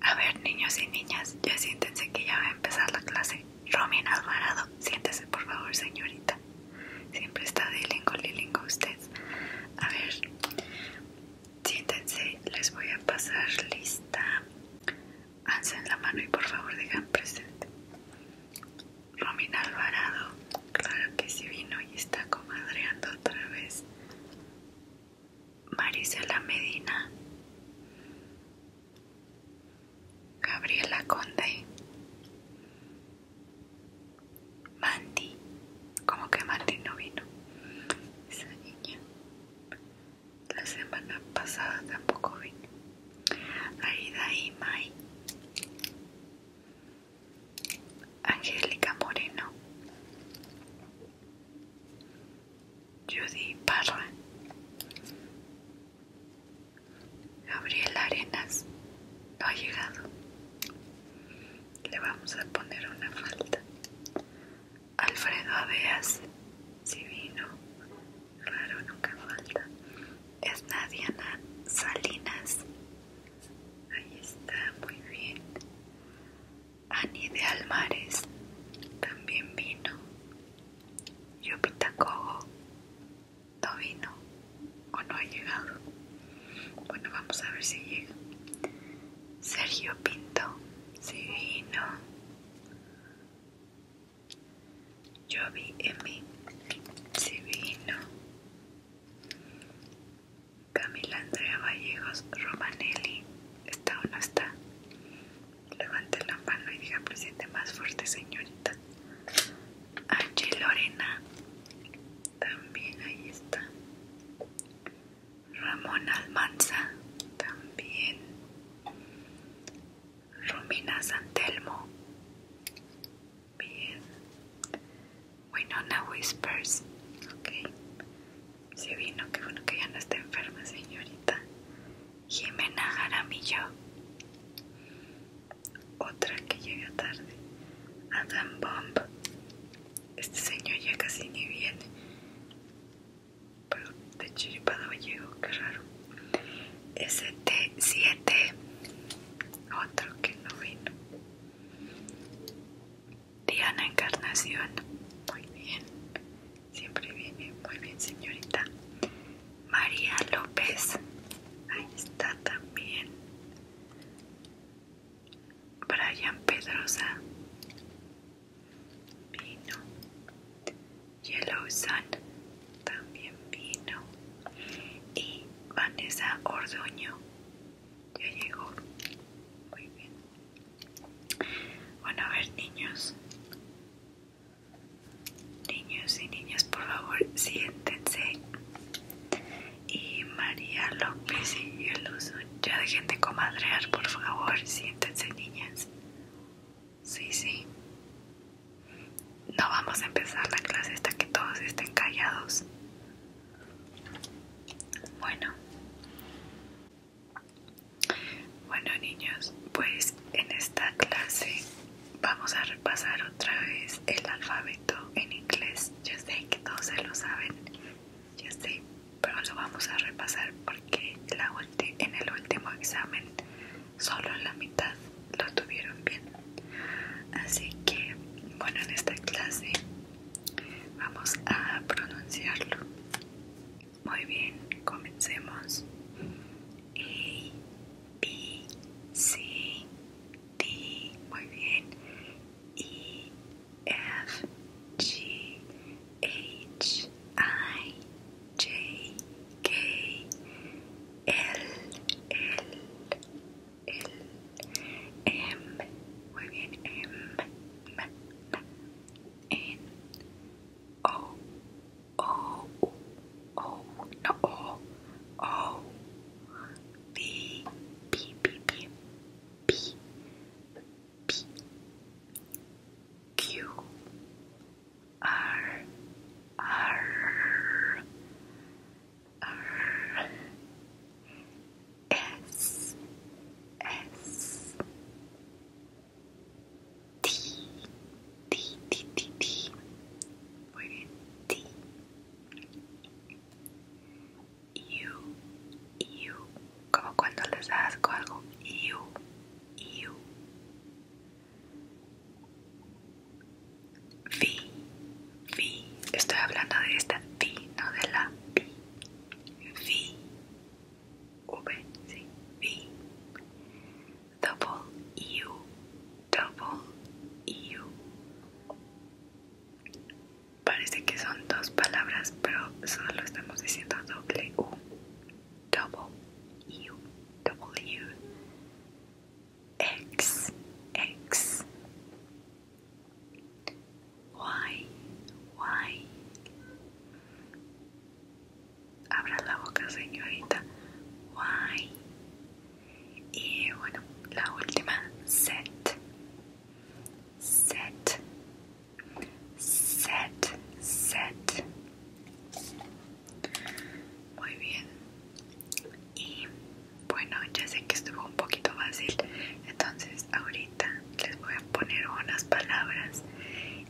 A ver, niños y niñas, ya siéntense que ya va a empezar la clase. Romina Alvarado, siéntese por favor, señorita. Siempre está de lingo, lilingo usted. A ver, siéntense, les voy a pasar lista. Alcen la mano y por favor digan presente. Romina Alvarado, Claro que sí vino y está comadreando otra vez. Marisela Medina. Gabriela Conde. Mandy. Como que Mandy no vino. Esa niña. La semana pasada tampoco vino. Aida y May. Angélica Moreno, Judy Parra, Gabriel Arenas no ha llegado. Le vamos a poner una falta. Alfredo abeas si vino, raro, nunca falta. Es Nadiana Salinas, Ahí está, muy bien. Ani de Almares también vino. pinta Kogo no vino o no ha llegado. Bueno, vamos a ver si llega. Sergio Pinto, si vino. Jovi M, si vino. Camila Andrea Vallejos Romanelli, ¿está o no está? Levante la mano y diga presente más fuerte, señorita. Angie Lorena, también ahí está. Ramón Almanza, también. Romina Santelmo, bien. Winona Whispers. Ok. Se vino, qué bueno que ya no está enferma, señorita. Jimena Jaramillo. Otra que llega tarde. Adam Bomb. Este señor ya casi ni viene. Pero de Chiripado llegó, qué raro. ST7. Otro que no vino. Diana Encarnación. Muy bien. Siempre viene muy bien, señorita. María López. Ahí está también. Brian Pedrosa. Vino. Yellow Sun. También vino. Y Vanessa Ordoño. Ya llegó. Muy bien. Bueno, a ver, niños. Niños y niñas, por favor, siéntense. Y María López y el uso. Ya dejen de comadrear, por favor. Siéntense, niñas. Sí, sí. No vamos a empezar la clase hasta que todos estén callados. Bueno. Bueno niños, pues en esta clase vamos a repasar otra vez el alfabeto en inglés. Yo sé que todos se lo saben, yo sé, pero lo vamos a repasar porque la en el último examen solo la mitad lo tuvieron bien. Así que, bueno, en esta clase Vamos a pronunciarlo. Muy bien, comencemos. A, B, C, D. Muy bien. E, F, G, H, I, J, K, L, el em, no, o, o, b, b, b, b, b, b, q, r, r, R S S T T T T T Wait, T U U como cuando les da asco algo U U V V, estoy hablando de esta V, no de la V, V, V, sí, V, Double U, double U. Parece que son dos palabras, pero solo estamos diciendo doble U. Double U, double U. X, X. Why, why, Abra la boca, señorita. Why Y bueno, la última, set. Set. Set, set. Muy bien y bueno ya sé que estuvo un poquito fácil entonces ahorita les voy a poner unas palabras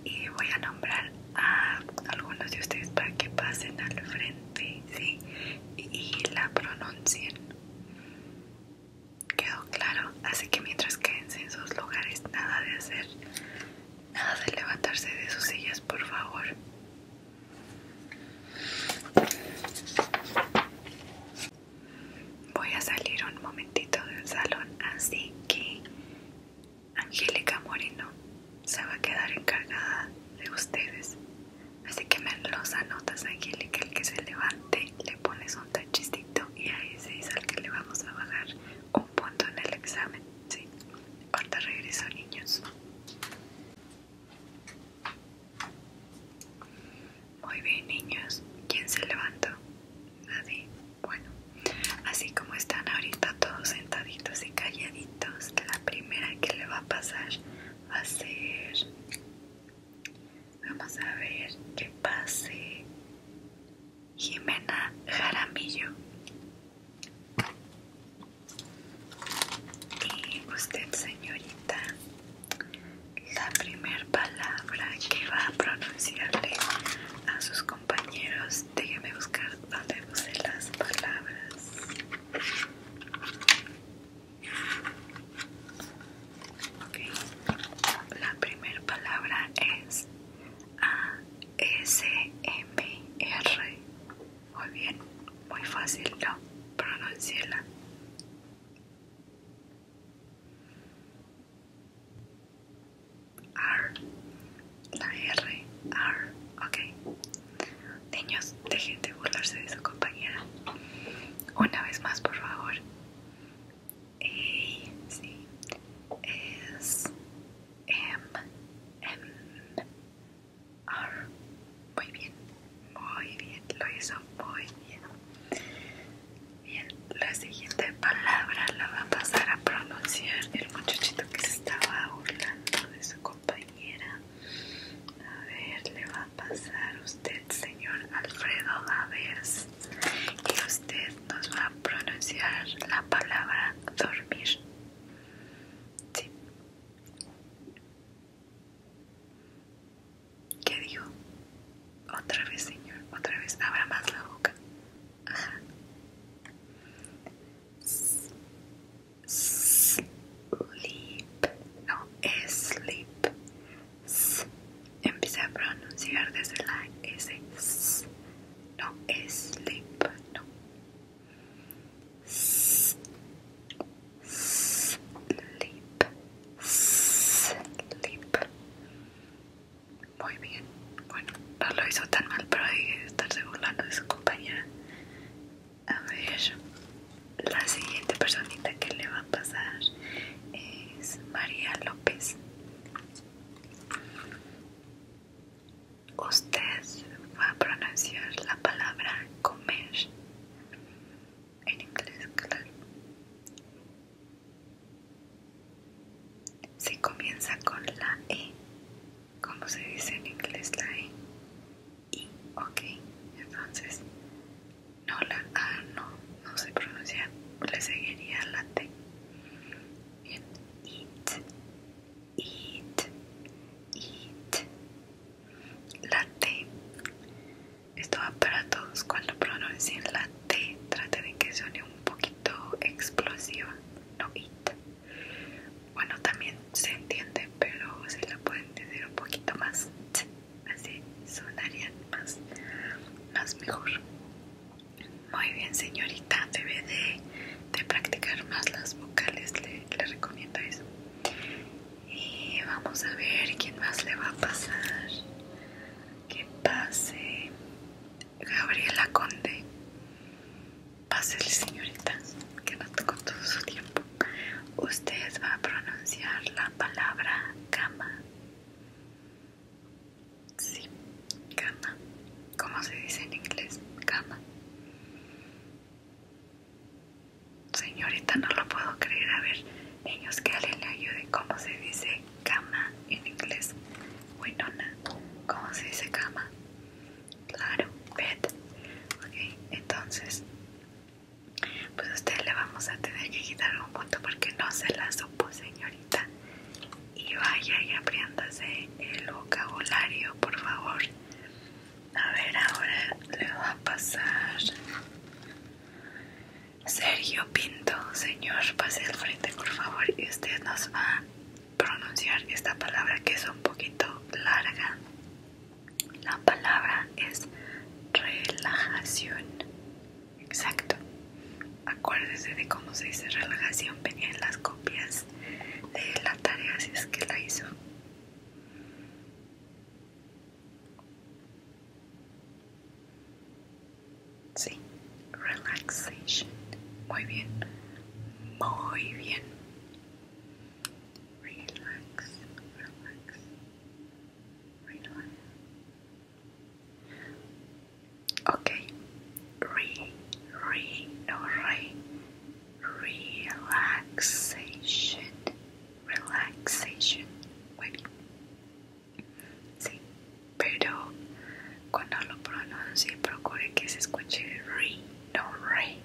y voy a nombrar a algunos de ustedes para que pasen al frente ¿sí? y la pronuncien quedó claro así que mientras quédense en sus lugares nada de hacer nada de levantarse de sus sillas por favor Voy a salir un momentito del salón, así que Angélica Moreno se va a quedar encargada de ustedes. Así que me los anotas, Angélica, el que se levante, le pones un tachicito y a ese es al que le vamos a bajar un punto en el examen. Sí, Ahora regreso, niños. Muy bien, niños. ¿Quién se levantó? Nadie. Bueno, así como están ahorita todos sentaditos y calladitos, la primera que le va a pasar va a ser... Vamos a ver qué pase Jimena Jaramillo. Y usted, señorita, la primera palabra que va a pronunciarle a sus compañeros, déjeme buscar dónde puse las palabras. Ok, La primera palabra es A S M R. Muy bien, muy fácil, ¿no? pronunciela R. La R. R. Ok. Niños, dejen de burlarse de su compañera. Una vez más, por favor. M. M. R. Muy bien, muy bien, lo hizo muy bien. Bien, la siguiente palabra la va a pasar a pronunciar el muchachito que se estaba burlando de su compañera. A ver, le va a pasar usted, señor Alfredo a ver Y usted nos va a pronunciar la palabra dormir. Sí. ¿Qué dijo? Otra vez, señor, otra vez. Abra más la boca. Ajá. S sleep. No, sleep. S Empieza a pronunciar desde la S. No no, sleep. No sleep, sleep. Muy bien. Bueno, no lo hizo tan mal, pero hay que de su compañera. A ver, la siguiente personita que le va a pasar es María López. Usted va a pronunciar la palabra comer en inglés, claro. Si comienza con la E, ¿cómo se dice en inglés la E? I, ok, entonces no la A no, no se pronuncia, le seguiría la T. Bien, it, it, eat. La T esto va para todos cuando pronuncien la T, traten de que suene un poquito explosiva, no it. Bueno, también se entiende, pero se la pueden decir un poquito más, así sonarían más, más mejor. Muy bien, señorita, debe de, practicar más las vocales, le recomiendo eso y vamos a ver quién más le va a pasar que pase Gabriela Conde el señorita que no tocó todo su tiempo usted va a pronunciar la palabra cama sí cama como se dice en inglés cama Señorita, no lo puedo creer. A ver, niños, que alguien le ayude. ¿Cómo se dice cama en inglés? ¿no? ¿Cómo se dice cama? Claro, bed. Ok, entonces, pues a usted le vamos a tener que quitar un punto porque no se la supo, señorita. Y vaya y apriéndase el vocabulario, por favor. A ver, ahora le va a pasar Sergio Pinto. Señor, pase al frente, por favor. Y usted nos va a pronunciar esta palabra que es un poquito larga. La palabra es relajación. Exacto. Acuérdese de cómo se dice relajación. Venía en las copias de la tarea si es que la hizo. Sí, relaxation. Muy bien. Muy bien. Relax, relax, relax. Okay. Re, re, no, re. Relaxation. relaxation. Bueno, sí, pero cuando lo pronuncie, procure que se escuche re, no re,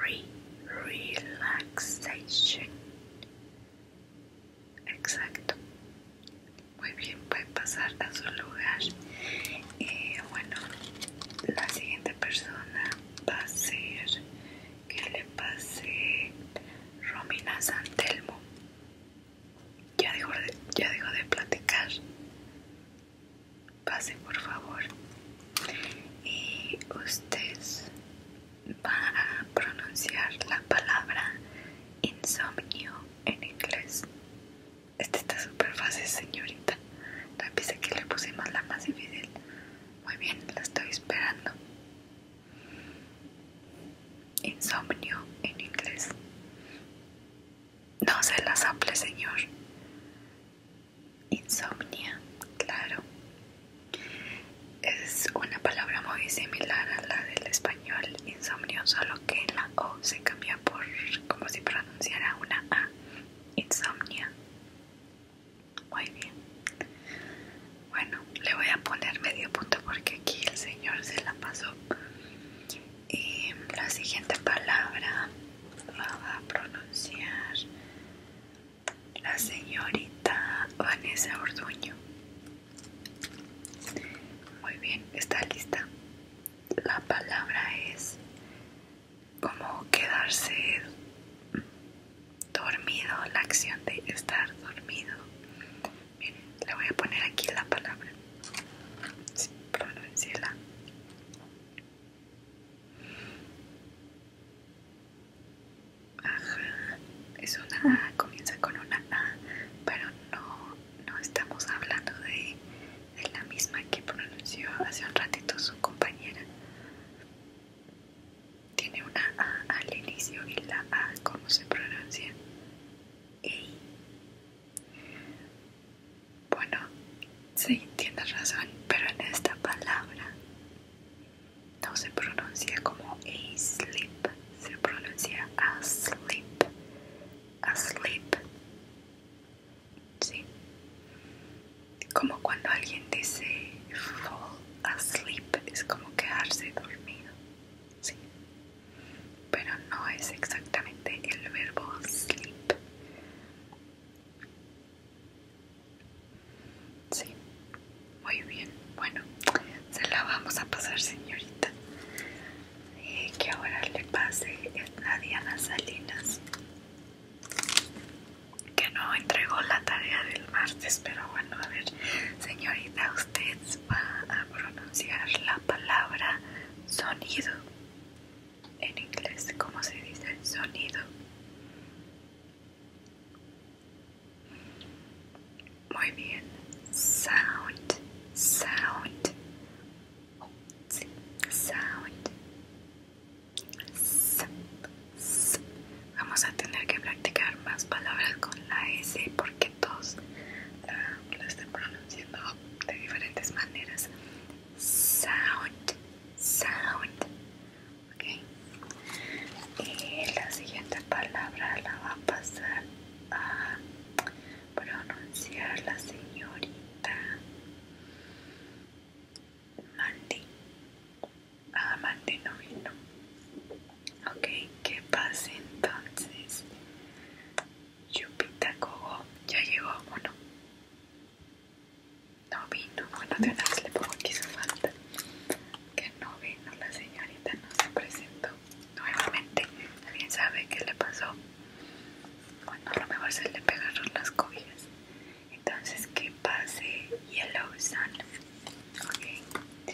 re, relaxation. Exacto. Muy bien, puede pasar a su lugar. y eh, bueno, la siguiente persona va a ser que le pase Romina Santelmo. Ya dejo de, ya de platicar. Pase por favor. Y usted va a pronunciar la palabra insomnio en inglés. Este está súper fácil, señorita. La pieza que le puse más la más difícil. Muy bien, la estoy esperando. Insomnio en inglés. No se las saple, señor. Insomnia, claro. Es una palabra muy similar a la del español insomnio, solo que la O se cambia por como si pronunciara una A. Insomnia. Muy bien. Bueno, le voy a poner medio punto porque aquí el señor se la pasó. Y la siguiente palabra la va a pronunciar la señorita Vanessa Orduño. Muy bien, está lista. La palabra es como quedarse dormido, la acción de estar dormido. Miren, le voy a poner aquí la palabra, sí, Ajá, es una A, comienza con una A, pero no, no estamos hablando de la misma que pronunció hace un ratito su compañera. Tiene una A al inicio y la A, ¿cómo se pronuncia? E. Bueno, sí, tienes razón, pero en esta palabra no se pronuncia como a sleep, se pronuncia asleep, asleep. Sí como cuando alguien dice fall asleep, es como quedarse dormido, ¿sí? Pero no es exactamente el verbo sleep. Sí, muy bien. Bueno, se la vamos a pasar, señorita. Y eh, que ahora le pase a Diana Salinas que no entregó la tarea del martes, pero bueno, a ver, señorita, usted va a pronunciar la palabra sonido en inglés. ¿Cómo se dice sonido? Muy bien, sound, sound, sound. Vamos a tener que practicar más palabras con la S porque todos ah, la, están pronunciando de diferentes maneras. Sound, sound. Okay. Y la siguiente palabra la va a pasar a pronunciar la señorita Mandy no vino. Ok, ¿qué pasa entonces? Yupita Cogó ya llegó, bueno. No vino, bueno, de una vez le pongo aquí falta. Que no vino, la señorita no se presentó nuevamente. ¿Alguien sabe qué le pasó? Bueno, a lo mejor se le pegaron las cobijas entonces qué pase Yellow Sun. ¿ok?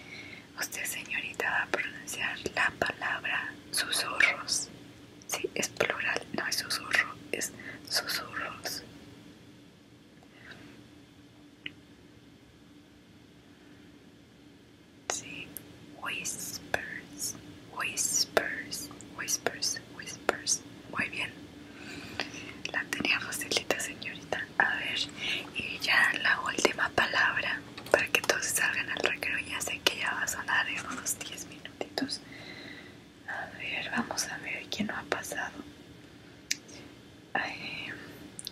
Usted, señorita, va a pronunciar la palabra susurros. Sí, es plural, no es susurro, es susurros. Sí, whispers, whispers, whispers, whispers. Muy bien. La tenía Roselita señorita. A ver, y ya la última palabra para que todos salgan al recreo. Ya sé que ya va a sonar en unos 10 minutitos. A ver, vamos a ver quién no ha pasado.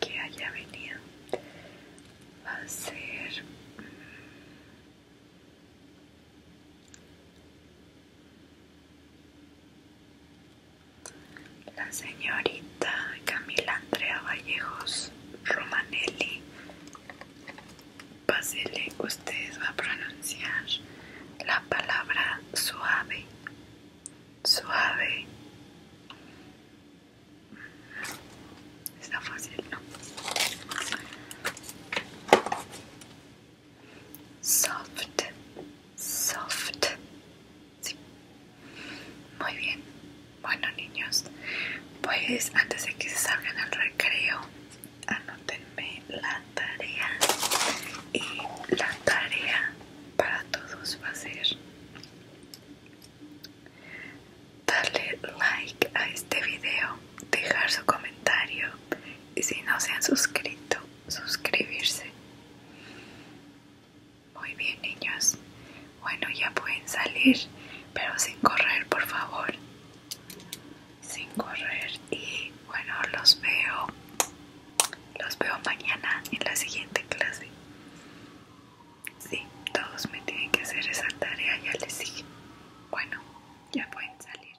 que haya venido. Va a ser. Mm, la señorita Camila Andrea Vallejos Romanelli. Pasele, usted va a pronunciar la palabra suave, suave. Está fácil, ¿no? soft, soft. Muy bien. Bueno, niños, pues antes de que se salgan al recreo, anótenme la tarea. Y la tarea para todos va a ser darle like a este video, dejar su comentario y si no se han suscrito suscribirse. Muy bien, niños. Bueno, ya pueden salir, pero sin correr, por favor. Sin correr. Y bueno, los veo. Los veo mañana en la siguiente clase. Si todos me tienen que hacer esa tarea, ya les siguen Bueno, ya pueden salir.